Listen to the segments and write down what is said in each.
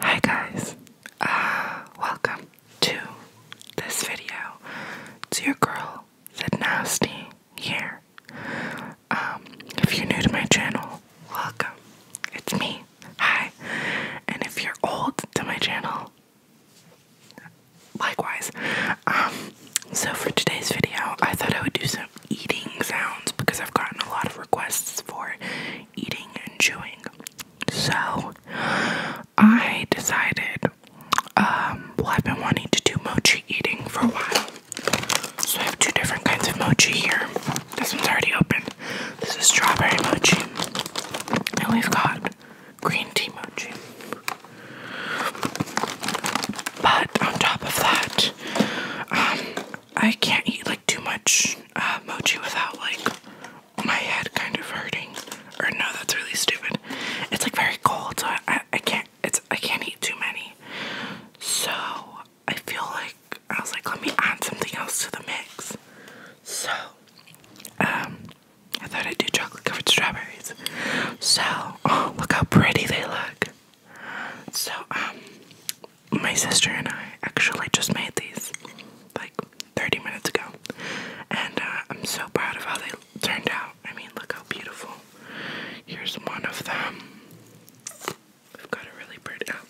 Hi guys, uh, welcome to this video. It's your girl, The Nasty, here. Um, if you're new to my channel, welcome. It's me. Hi. And if you're old to my channel, likewise. Um, so for today's video, I thought I would do some eating sounds because I've gotten a lot of requests for eating and chewing. So I decided, um, well, I've been wanting to do mochi eating for a while. So I have two different kinds of mochi here. This one's already open. This is strawberry mochi. And we've got green tea mochi. But on top of that, um, I can't eat like too much uh, mochi without like my head kind of hurting. Or no, that's really stupid. It's like very cold, so I, I, can't. It's I can't eat too many. So I feel like I was like, let me add something else to the mix. So, um, I thought I'd do chocolate covered strawberries. So, look how pretty they look. So, um, my sister and I actually just made these like 30 minutes ago, and uh, I'm so proud of how they turned out. I mean, look how beautiful. Here's one of them. We've got a really pretty. Oh,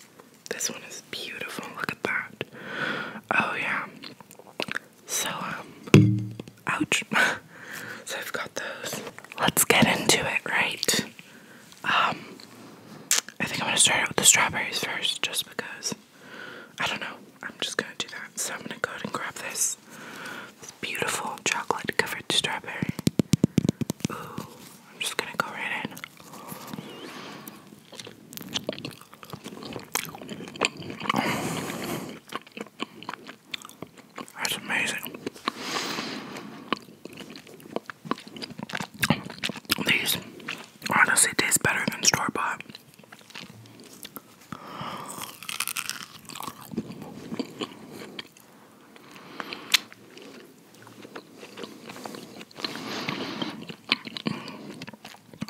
this one is beautiful. Look at that. Oh, yeah. So, um, Ouch. so I've got those. Let's get into it, right? Um, I think I'm gonna start out with the strawberries first, just because. I don't know. I'm just gonna do that. So I'm gonna go ahead and grab this, beautiful chocolate covered strawberry. I'm just gonna go right in. That's amazing. These honestly taste better than store bought.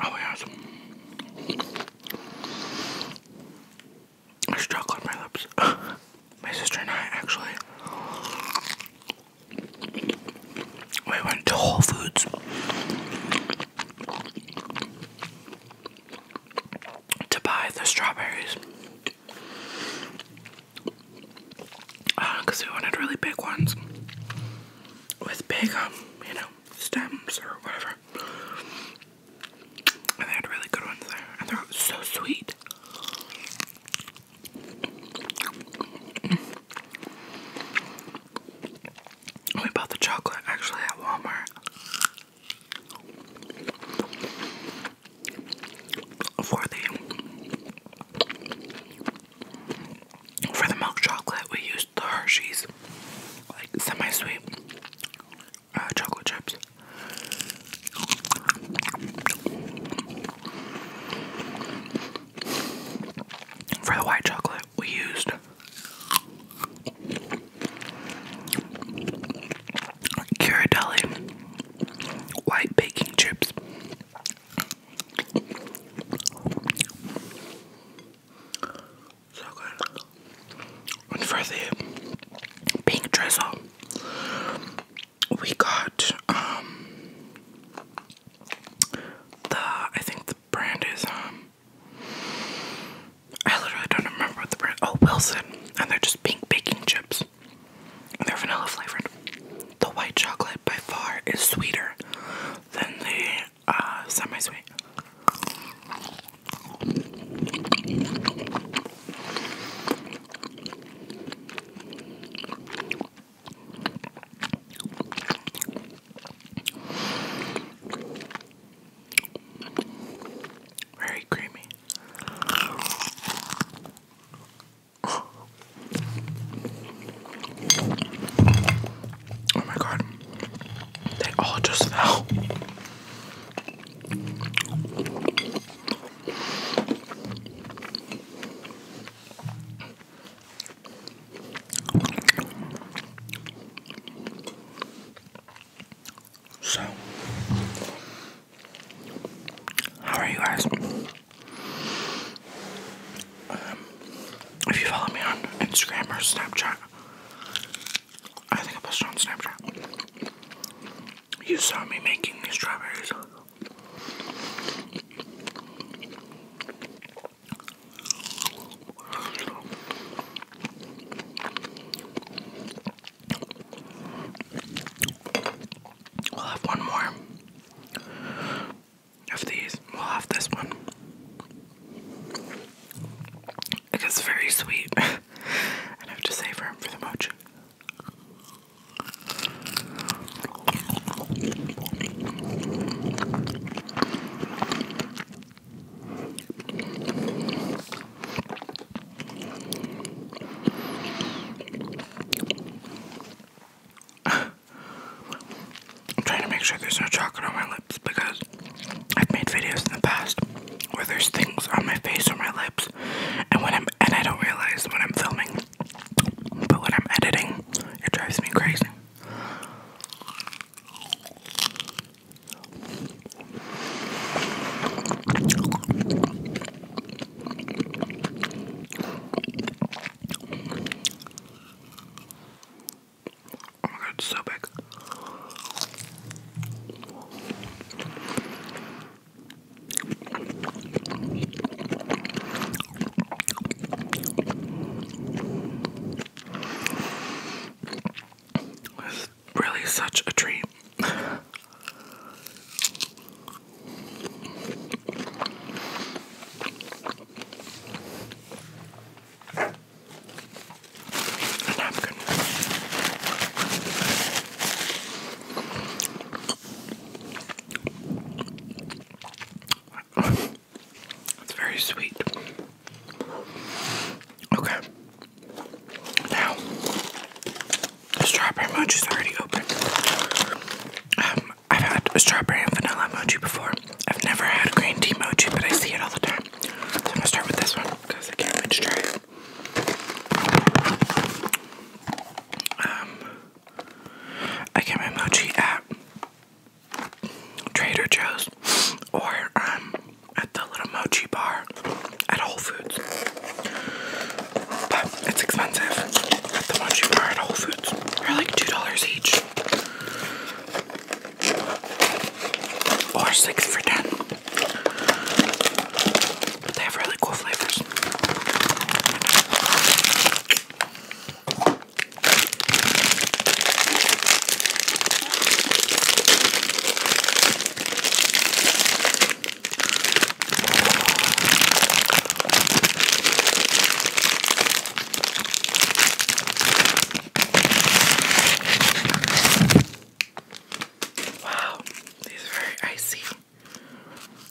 Oh, yes. There's chocolate on my lips. my sister and I actually we went to Whole Foods to buy the strawberries because uh, we wanted really big ones with big um you know stems or whatever I And they had really good ones there. And they're so sweet. We bought the chocolate actually at Walmart. For the for the milk chocolate we used the Hershey's like semi-sweet. Uh, chocolate chips. For the white chocolate, we used Ghirardelli white baking chips. So good. And for the pink drizzle, we got um the I think the brand is um I literally don't remember what the brand oh Wilson and they're just pink baking chips. And they're vanilla flavored. The white chocolate by far is sweeter than the Ah, semi-sweet. Very creamy. Oh my god. They all just fell. So, how are you guys? Um, if you follow me on Instagram or Snapchat, I think I posted on Snapchat. You saw me making these strawberries. We'll have one more of these. We'll have this one. It is very sweet. and I have to save room for the mochi. I'm trying to make sure there's no chocolate on my lips because I've made videos in the past where there's things on my face or my lips, and when I'm and I don't realize when I'm filming, but when I'm editing, it drives me crazy. Oh my god, it's so big. It's really such a treat. It's very sweet. Okay. Now, strawberry mochi is already open. Um, I've had a strawberry and vanilla mochi before. I've never had green tea mochi, but I see it all the time. So I'm gonna start with this one because I can't wait to try it. Um, I get my mochi at Trader Joe's or um at the little mochi bar at Whole Foods. But it's expensive at the mochi bar at Whole Foods. They're like $2 each. Or six for ten. But they have really cool flavors. Wow, these are very icy.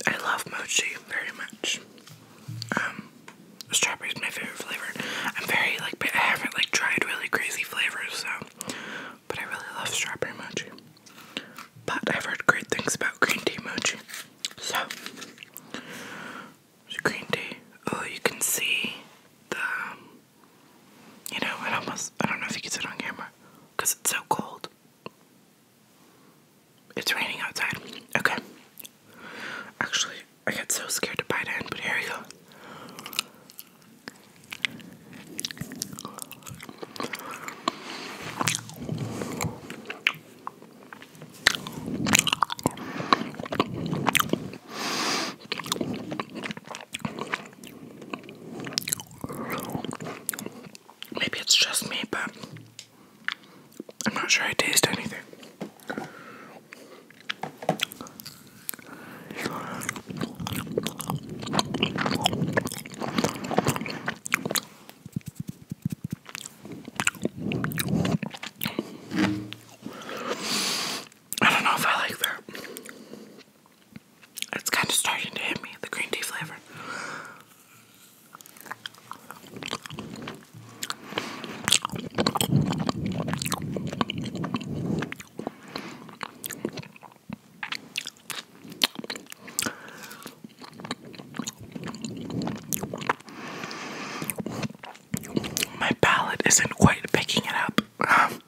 I love mochi very much. Um, strawberry is my favorite flavor. I'm very like, I haven't like tried really crazy flavors, so. But I really love strawberry mochi. But I've heard great things about green tea mochi, so it's green tea. Oh, you can see the, um, you know, it almost, I don't know if you can see it on camera because it's so cold. It's raining outside. Okay. Actually, I got so scared to bite in, but here we go. Maybe it's just me, but I'm not sure I taste anything. I don't know if I like that. It's kind of starting to hit me, the green tea flavor. My palate isn't quite picking it up. Um,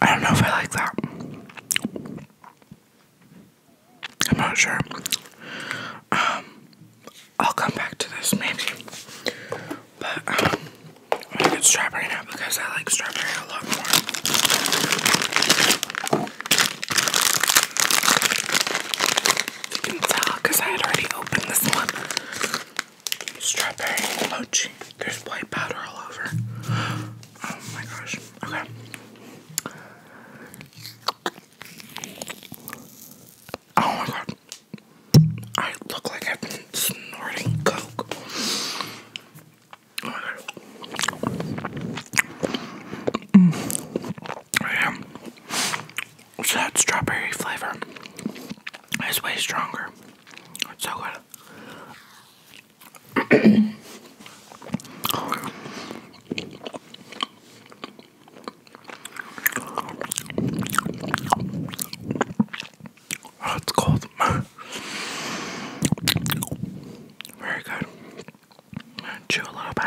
I don't know if I like that. I'm not sure. Um, I'll come back to this maybe. But um, i get strawberry now because I like strawberry a lot more. You can tell because I had already opened this one. Strawberry mochi. There's white powder all over. Oh my gosh. Okay. Oh my god. I look like I've been snorting coke. Oh mm. that strawberry flavor is way stronger. It's so good. oh, it's cold. Very good. I'm gonna chew a little bit.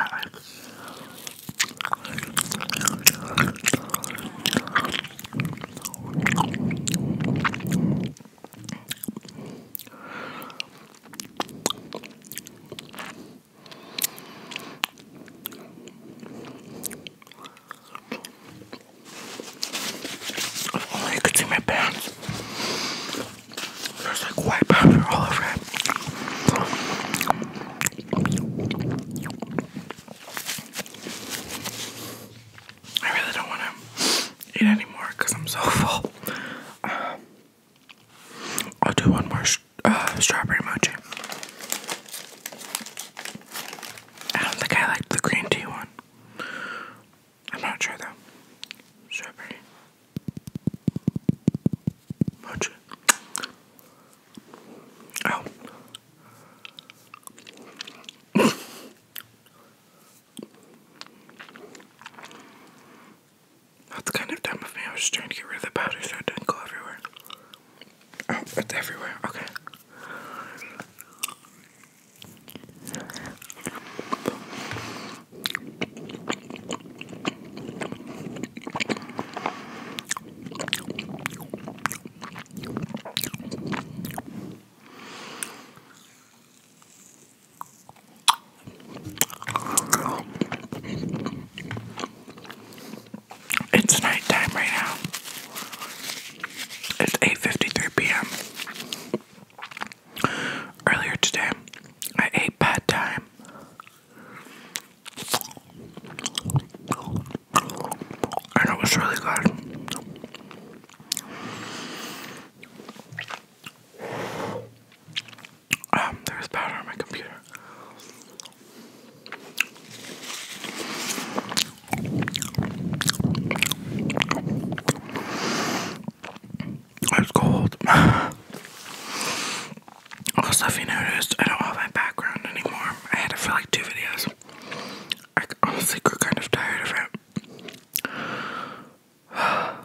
Only you could see my pants. There's like white powder all over it. I really don't want to eat anymore because I'm so full. Um, I'll do one more uh, strawberry mochi. I don't think I liked the green tea one. I'm not sure though. Strawberry mochi. Oh. That's kind of dumb of me. I was trying to get rid of the powder so it didn't go everywhere. Oh, it's everywhere. Okay. It's nighttime right now. It's 8:53 p.m. Earlier today, I ate bad time. And it was really good. Um, there's power on my computer. It's cold. also, if you noticed, I don't have my background anymore. I had it for like two videos. I honestly grew kind of tired of it. My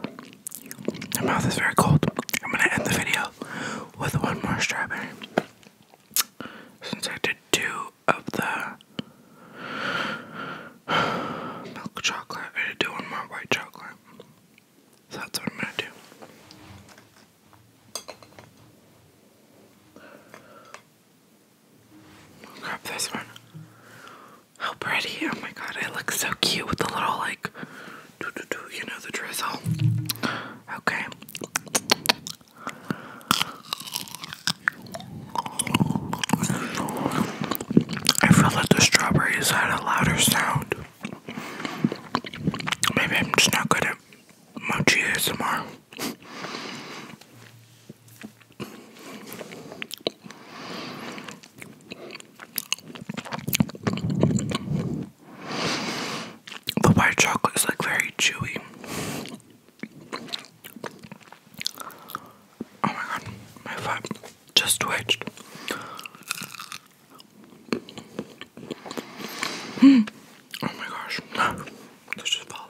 mouth is very cold. I'm gonna end the video with one more strawberry. Since I did two of the milk chocolate, I did do one more white chocolate. that's what I'm gonna do i grab this one. How pretty. Oh my god, it looks so cute with the little like doo -doo you know the drizzle. Okay. I feel like the strawberries had a louder sound. Maybe I'm just not good at mochi ASMR. The white chocolate is like very chewy. Oh my god, my foot just twitched. Hmm. Oh my gosh, this just fell.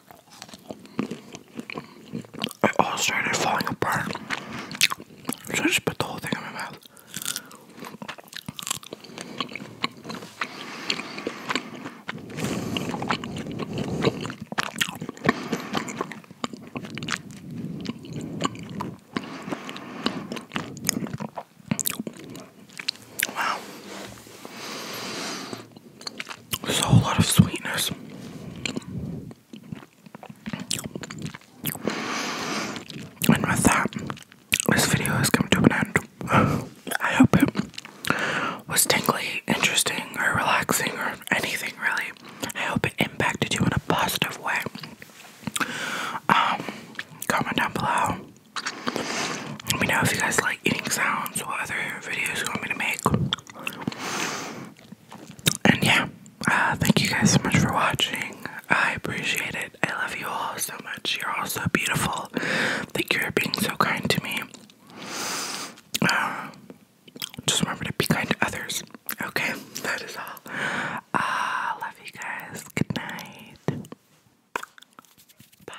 It all started falling apart. So I just put the whole thing in my mouth. Wow. There's a whole lot of sweetness. And with that, this video has come to an end. I hope it was tingly, interesting, or relaxing, or anything really. I hope it impacted you in a positive way. Um, comment down below. Let me know if you guys like eating sounds or other videos you want me to make. And yeah, uh, thank you guys so much for watching. I appreciate it. I love you all so much. You're all so beautiful. Thank you for being so kind to me. Uh, just remember to be kind to others. Okay, that is all. I uh, love you guys. Good night. Bye.